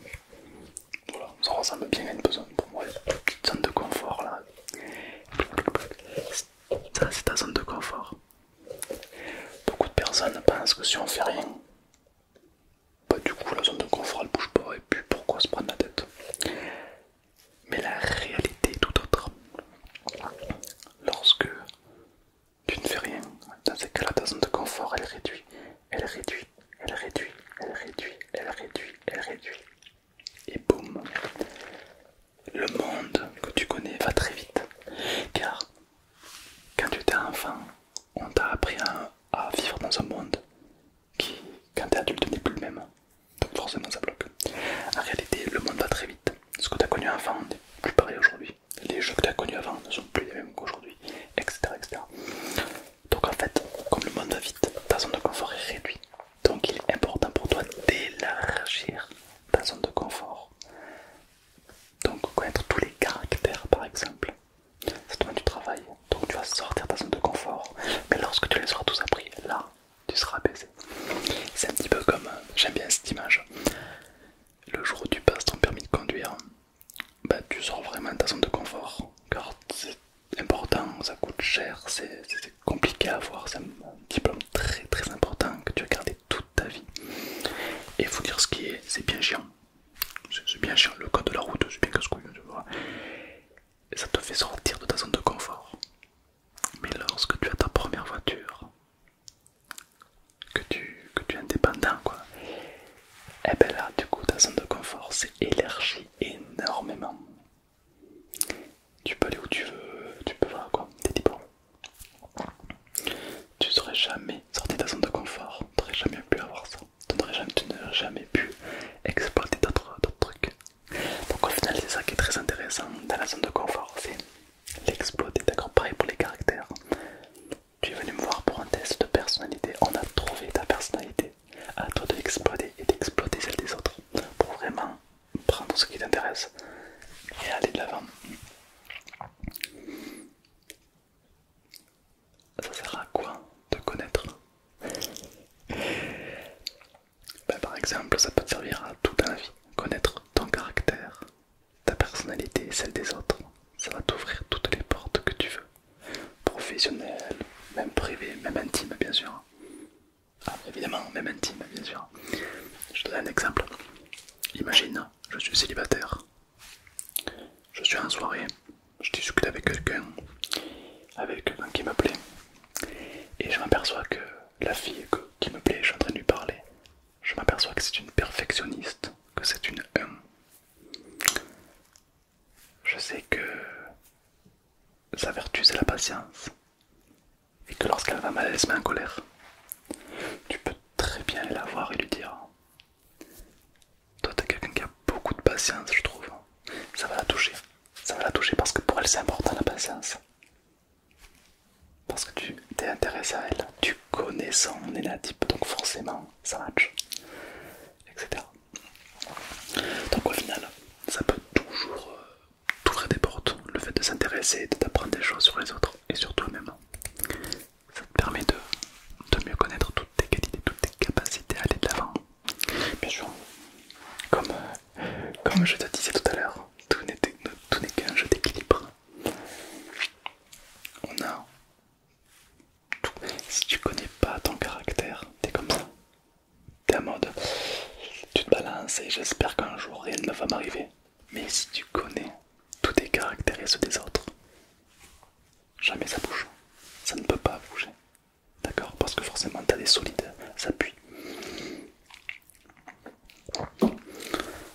Voilà, ça ressemble bien à une pour zone de confort là. Ça c'est ta zone de confort. Beaucoup de personnes pensent que si on fait rien, bah du coup la zone de confort elle bouge pas et puis pourquoi se prendre la tête Mais la réalité est tout autre. Lorsque tu ne fais rien, dans ces cas-là ta zone de confort elle réduit, elle réduit, elle réduit, elle réduit, elle réduit, elle réduit, elle réduit. Et boum le monde que tu connais va très vite. Car quand tu étais enfant, on t'a appris à, vivre dans un monde qui, quand tu es adulte, n'est plus le même. Donc forcément ça bloque. En réalité, le monde va très vite. Ce que tu as connu avant n'est plus pareil aujourd'hui. Les jeux que tu as connus avant ne sont plus les mêmes qu'aujourd'hui, etc., etc. Donc en fait, comme le monde va vite, ta zone de confort est réduite. Donc il est important pour toi d'élargir ta zone de confort donc connaître tous les caractères par exemple, ça demande du travail, donc tu vas sortir ta zone de confort, mais lorsque tu les auras tous appris, là tu seras apaisé. C'est un petit peu comme, euh, j'aime bien cette image, le jour où tu passes ton permis de conduire, bah, tu sors vraiment de ta zone de confort, car c'est important, ça coûte cher, c'est compliqué à avoir, c'est un diplôme très très important que tu as gardé tout ta vie. Et faut dire ce qui est, c'est bien chiant. C'est bien chiant, le code de la route, c'est bien casse-couille, tu ça te fait sortir de ta zone de confort. Mais lorsque tu as ta première voiture, que tu, que tu es indépendant, quoi, et eh ben là, du coup, ta zone de confort s'élargit énormément tu peux aller où tu veux, tu peux voir quoi, t'es bon Tu serais jamais sorti de ta zone de confort, tu n'aurais jamais pu avoir ça, tu n'aurais jamais, pu exploiter d'autres trucs. Donc au final c'est ça qui est très intéressant dans la zone de confort, c'est l'exploiter, d'accord Pareil pour les caractères. Tu es venu me voir pour un test de personnalité, on a trouvé ta personnalité, à toi de l'exploiter et d'exploiter celle des autres pour vraiment prendre ce qui t'intéresse et aller de l'avant. Ça sert à quoi de connaître ben, Par exemple, ça peut te servir à tout dans la vie. Connaître ton caractère, ta personnalité et celle des autres, ça va t'ouvrir toutes les portes que tu veux. Professionnelles, même privées, même intimes bien sûr. Ah, évidemment, même intime, bien sûr. Je donne un exemple. Imagine, je suis célibataire. Je suis en soirée. Je discute avec quelqu'un, avec quelqu'un qui me plaît. Et je m'aperçois que la fille qui me plaît, je suis en train de lui parler. Je m'aperçois que c'est une perfectionniste, que c'est une Je sais que sa vertu c'est la patience et que lorsqu'elle va mal, elle se met en colère, tu peux très bien la voir et lui dire Toi, t'es quelqu'un qui a beaucoup de patience, je trouve. Ça va la toucher. Ça va la toucher parce que pour elle, c'est important la patience. Parce que tu t'es intéressé à elle, tu connais son énatype, donc forcément, ça match, etc. Donc, au final, ça peut toujours euh, tout des portes, le fait de s'intéresser, et d'apprendre des choses sur les autres et sur toi-même. Ça te permet de, mieux connaître toutes tes qualités, toutes tes capacités à aller de l'avant. Bien sûr, comme, comme je te disais tout à l'heure, tout n'est qu'un jeu d'équilibre. On a tout. Si tu connais pas ton caractère, t'es comme ça. T'es en mode, tu te balances et j'espère qu'un jour rien ne va m'arriver. Mais si tu connais tous tes caractéristiques des autres, jamais ça bouge. Ça ne peut pas bouger. D'accord Parce que forcément, t'as des solides, ça pue.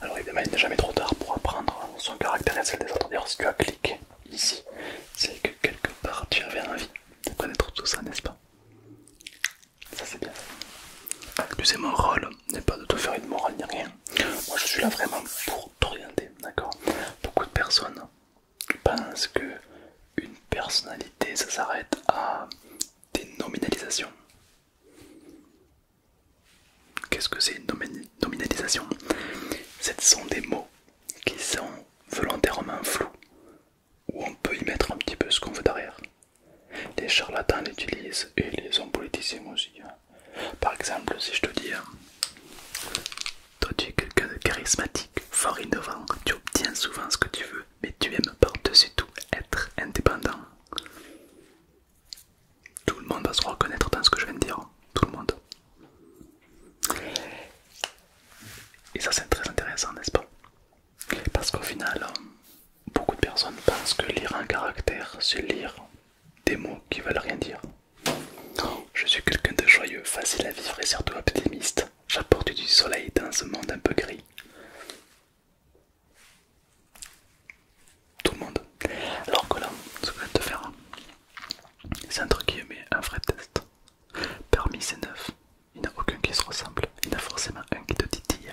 Alors évidemment, il n'est jamais trop tard pour apprendre son caractère et celle des autres. D'ailleurs, si tu as cliqué ici, c'est que quelque part tu avais envie de connaître tout ça, n'est-ce pas ça c'est bien. Tu sais, mon rôle n'est pas de tout faire une morale ni rien. Moi je suis là vraiment pour t'orienter, d'accord Beaucoup de personnes pensent que une personnalité ça s'arrête à des nominalisations. Qu'est-ce que c'est une nominalisation Ce sont des mots qui sont volontairement flous, où on peut y mettre un petit peu ce qu'on veut derrière. Les charlatans l'utilisent et les hommes politiciens aussi. Par exemple, si je te dis, toi tu es quelqu'un de charismatique, fort innovant, tu obtiens souvent ce que tu veux, mais tu aimes par-dessus tout être indépendant. Tout le monde va se reconnaître dans ce que je viens de dire, tout le monde. Et ça c'est très intéressant, n'est-ce pas parce qu'au final, beaucoup de personnes pensent que lire un caractère, c'est lire des mots qui veulent rien dire. Je suis quelqu'un de joyeux, facile à vivre et surtout optimiste. J'apporte du soleil dans ce monde un peu gris. Tout le monde. Alors que là, ce que je vais te faire, c'est entre guillemets un vrai test. Parmi ces neufs, il n'y a aucun qui se ressemble. Il y en a forcément un qui te titille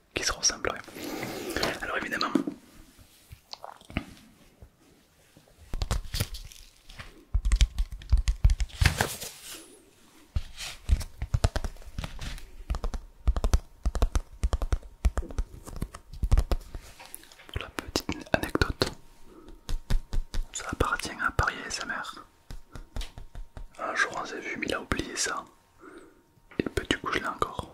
qui se ressembleraient. Alors évidemment, la petite anecdote, ça appartient à Paris et sa mère. Un jour on s'est vu, mais il a oublié ça. Et puis ben, tu couche là encore.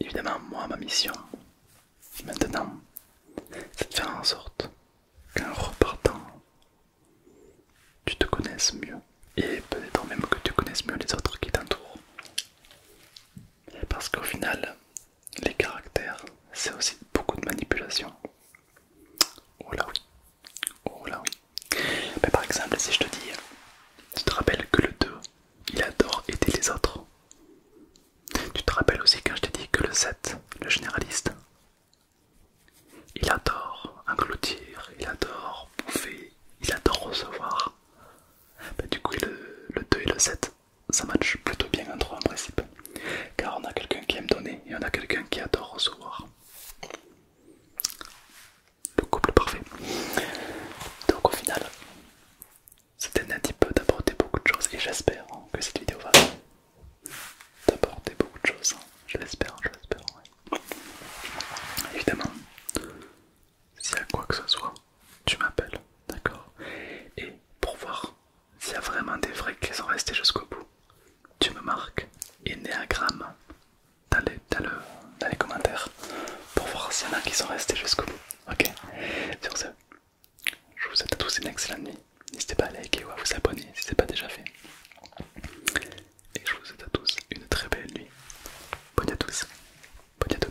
Évidemment, moi, ma mission maintenant, c'est de faire en sorte qu'en repartant, tu te connaisses mieux et peut-être même que tu connaisses mieux les autres qui t'entourent. Parce qu'au final, les caractères, c'est aussi beaucoup de manipulation. Oh là oui, oh là Mais par exemple, si je te dis, tu te rappelles que le 2, il adore aider les autres. Tu te rappelles aussi quand je t'ai dit que le 7, le généraliste, il adore engloutir, il adore bouffer, il adore recevoir. Bah, du coup, le, 2 et le 7, ça match plutôt bien entre eux en principe. Car on a quelqu'un qui aime donner et on a quelqu'un qui adore recevoir. Le couple parfait. Donc au final, c'était un petit peu d'apporter beaucoup de choses et j'espère que cette vidéo va d'apporter beaucoup de choses. Je l'espère, je l'espère. Évidemment, s'il y a quoi que ce soit, tu m'appelles, d'accord Et pour voir s'il y a vraiment des vrais qui sont restés jusqu'au bout, tu me marques et dans dans, dans les commentaires pour voir s'il y en a qui sont restés jusqu'au bout, ok Sur ce, je vous souhaite à tous une excellente nuit. N'hésitez pas à liker ou à vous abonner si ce n'est pas déjà fait et je vous souhaite à tous une très belle nuit. Bonne à tous, bonne à toutes.